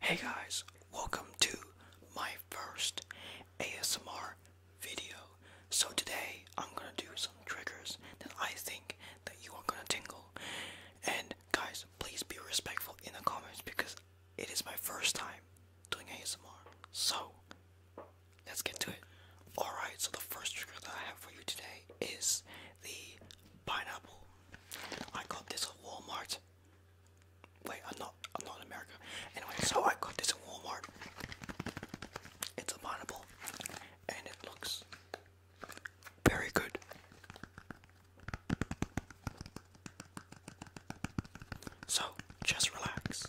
Hey guys, welcome to my first ASMR video. So today I'm gonna do some triggers that I think that you are gonna tingle. And guys, please be respectful in the comments because it is my first time doing ASMR. So let's get to it. Alright, so the first trigger that I have for you today is the pineapple. I got this at Walmart Wait, I'm not. I'm not in Anyway, so I got this at Walmart. It's a pineapple, and it looks very good. So just relax.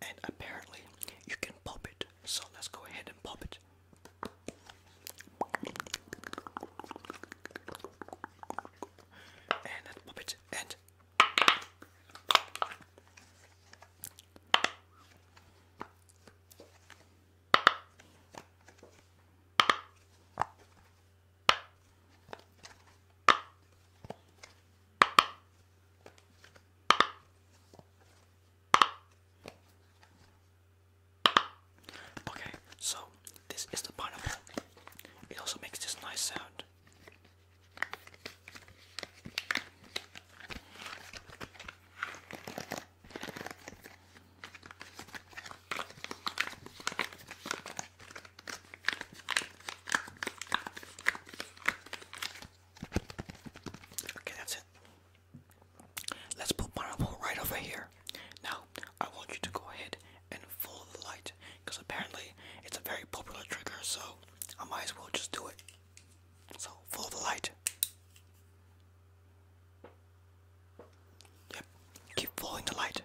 And apparently, you can pop it. So let's go ahead and pop it. And pop it. And. Okay, so this is the pineapple. It also makes this nice sound. Okay, that's it. Let's put pineapple right over here. Now, I want you to go ahead and follow the light because apparently it's a very popular trigger, so I might as well just do it. So, follow the light. Yep, keep following the light.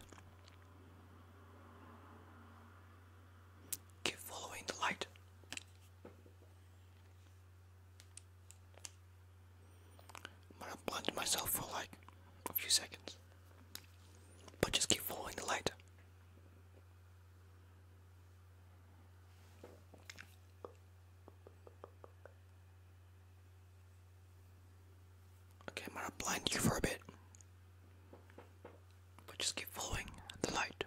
Keep following the light. I'm gonna plunge myself for like a few seconds. But just keep following the light. Okay, I'm gonna blind you for a bit. But just keep following the light.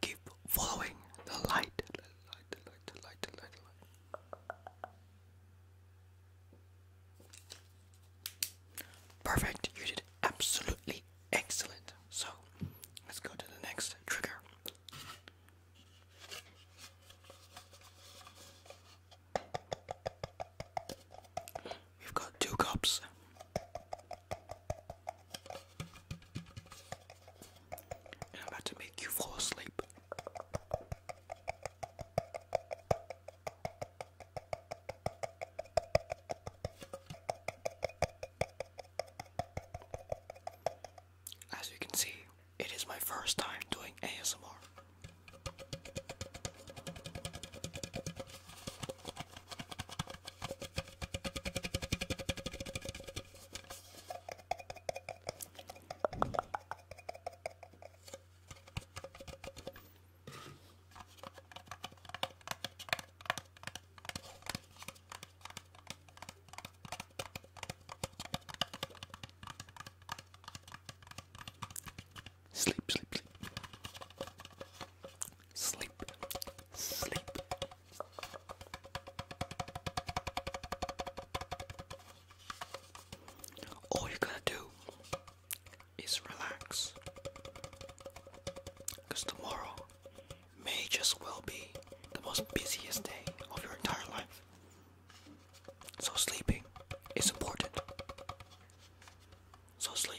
Keep following the light. Perfect, you did absolutely excellent. So let's go to the next trigger. We've got two cups. I'm about to make you fall asleep. As you can see, it is my first time doing ASMR. Sleep, sleep, sleep. Sleep, sleep. All you're to do is relax. Because tomorrow may just well be the most busiest day of your entire life. So sleeping is important. So sleep.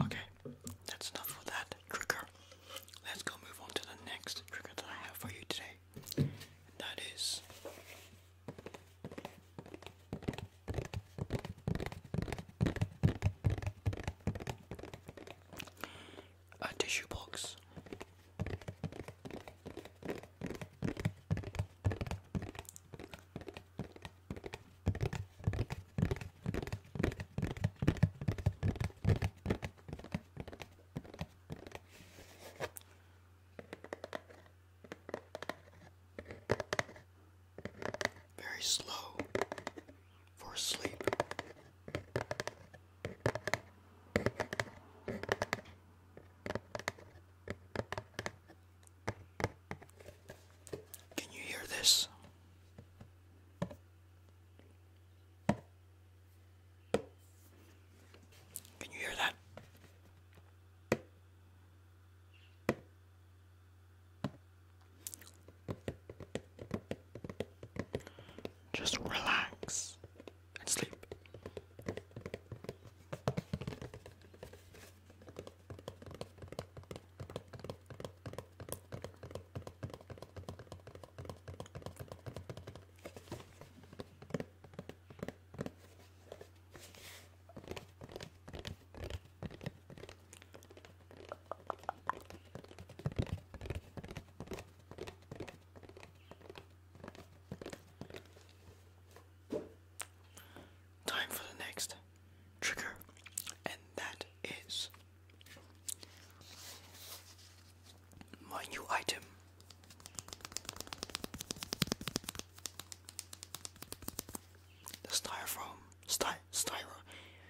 Okay, that's enough for that trigger. Let's go move on to the next trigger that I have for you today. that is a uh, tissue box. Very slow for sleep. Can you hear this? Can you hear that? Just relax and sleep. Time for the next trigger, and that is my new item. The styrofoam, sty, styro,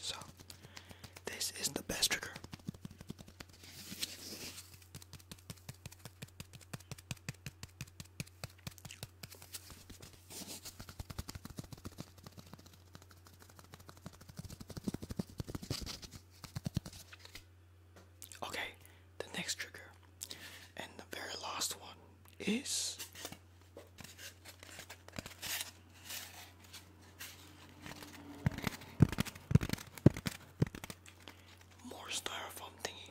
So, this is the best trigger. Okay, the next trigger and the very last one is more styrofoam thingy.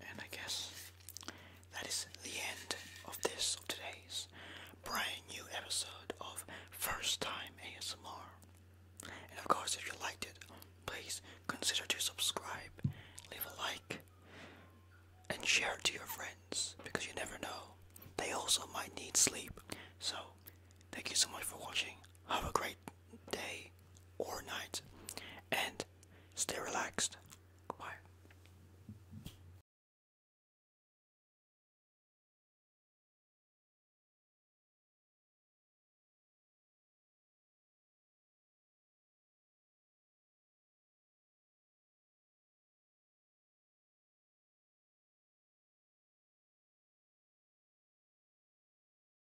And I guess that is the end of this of today's brand new episode of First Time ASMR. And of course, if you liked it, please consider to subscribe, leave a like, and share it to your friends because you never know. They also might need sleep. So, thank you so much for watching. Have a great day or night and stay relaxed. Goodbye.